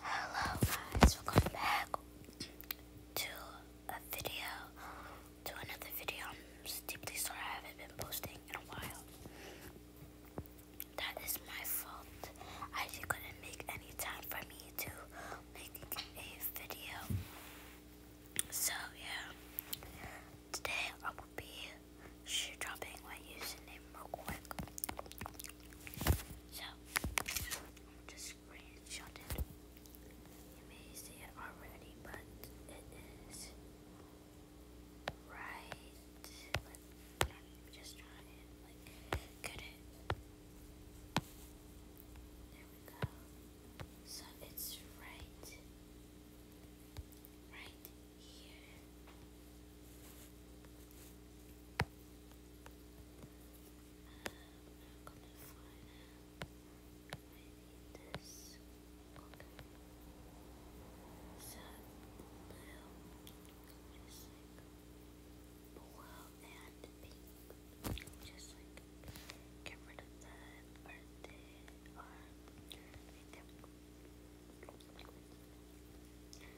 Hello guys, welcome back to a video, to another video. I'm deeply sorry I haven't been posting in a while. That is my fault. I just couldn't make any time for me to make a video. So yeah, today I will be she dropping my username real quick. So, just screenshot You may see it already, but it is right. But i just trying to like get it. There we go. So it's right, right here need this. Okay. So blue is like blue and pink. Just like get rid of the or right there.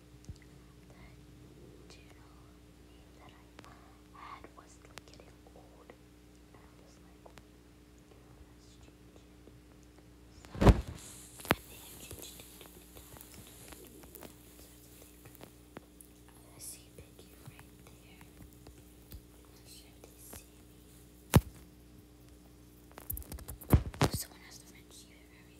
The general name that I had was getting old. I was like, okay, let's change So I think I changed it to bedtime. I see Piggy right there. I'm not sure if they see me. Someone has to mention you very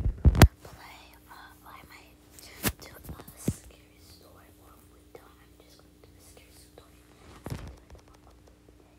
play uh, I might do a story or if we I'm just going to do a story I'm going to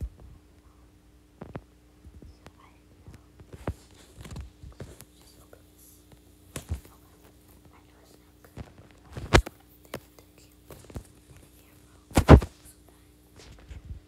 do like one of watch out I know just open this okay I know it's not good but I just want to fit the in the earphone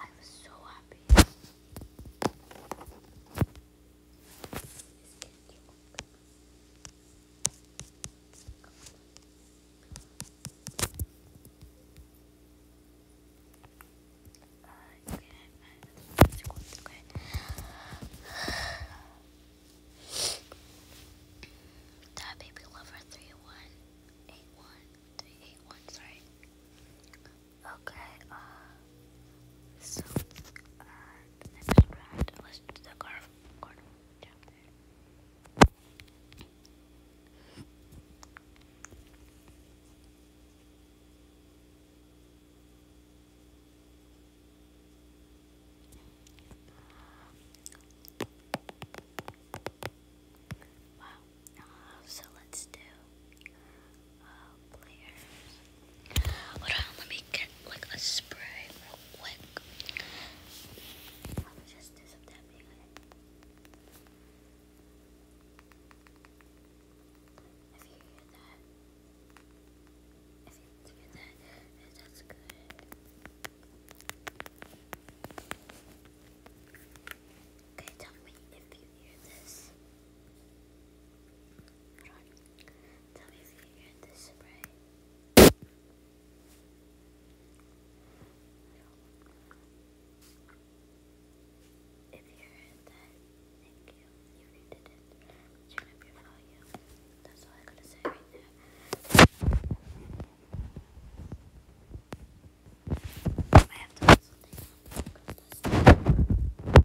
I was so happy. That baby lover three one eight one three eight one sorry. Okay, uh, so, uh, next round was the carnival, carnival chapter. Wow, uh, so let's do uh, Hold on, let me get like a spray real quick. Let you hear that, if you hear that, that's good. Okay, tell me if you hear this. Tell me if you hear this spray. If you heard that, thank you. If you didn't, turn up your volume. That's all I gotta say right now. I have to put something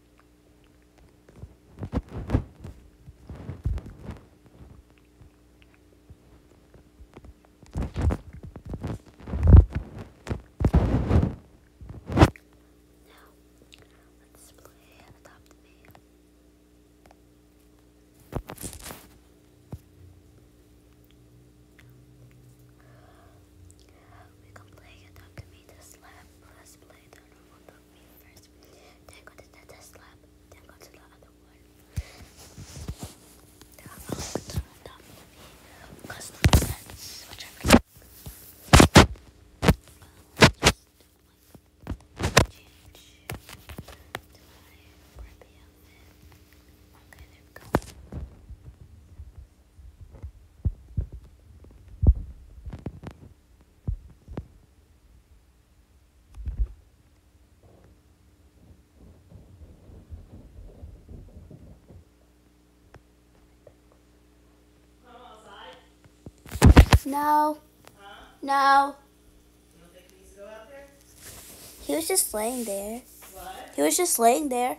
Now, let's play Adopt Me. We can play a dog to meet a slab. Let's play the normal dog meet first. Then go to the test Then go to the other one. There are all the dog movie custom sets, whichever. i Okay, there we go. No. No. He was just laying there. He was just laying there.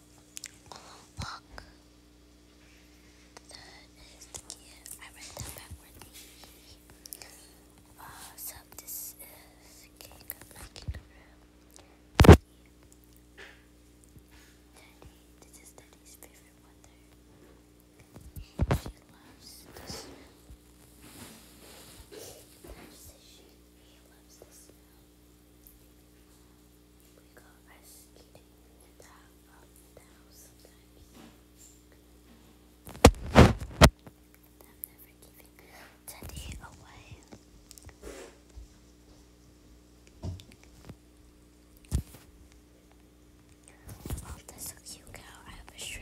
Oh, look. That is the key. I read that backwardly. Uh, so this is cake, not kangaroo. Daddy, this is Daddy's favorite weather. She loves the She loves the we go ice skating in the sometimes. I'm never giving Teddy away. Oh, that's a cute cow. I have a shrew.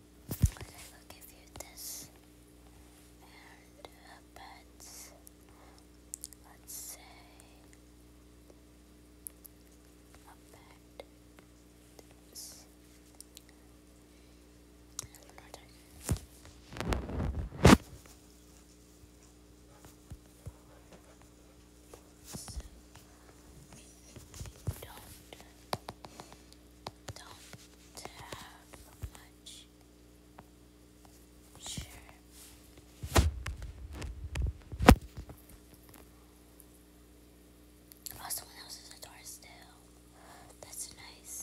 But I will give you this and a uh, pet. Let's say a pet. This. So, don't don't have much Oh, someone else is a door still. That's nice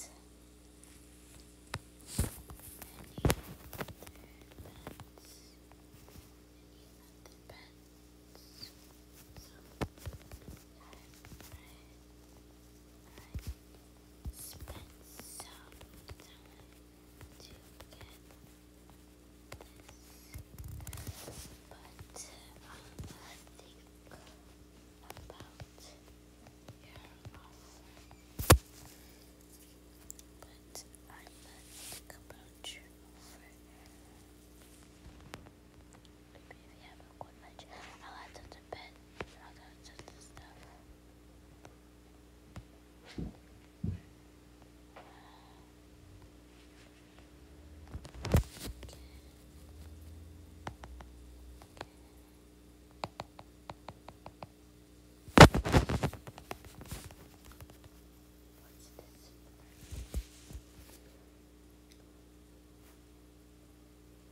spent some time to get this, but um, think about your offer. But I think about your Maybe have a good lunch. I'll add to bed. I'll add to the stuff. What's this?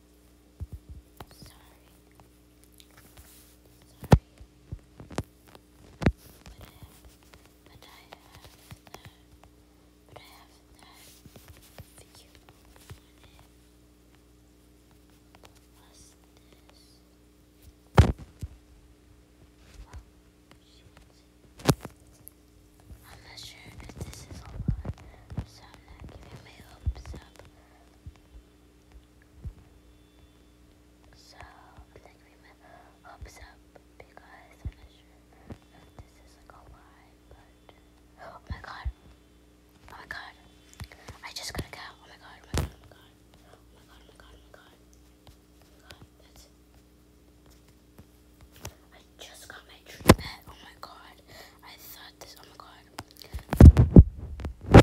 Sorry. Sorry. But I have, but I have that, but I have that video on it. What's this? Oh, shit. I'm not sure if this is all right, so I'm not giving my hopes up. So, like, remember, hopes up because I'm sure this is like a lie, but oh my god, oh my god, I just got a cow. Oh my god, oh my god, oh my god, oh my god, oh my god, oh my god, oh my god, that's. I just got my treatment. Oh my god, I thought this. Oh my god.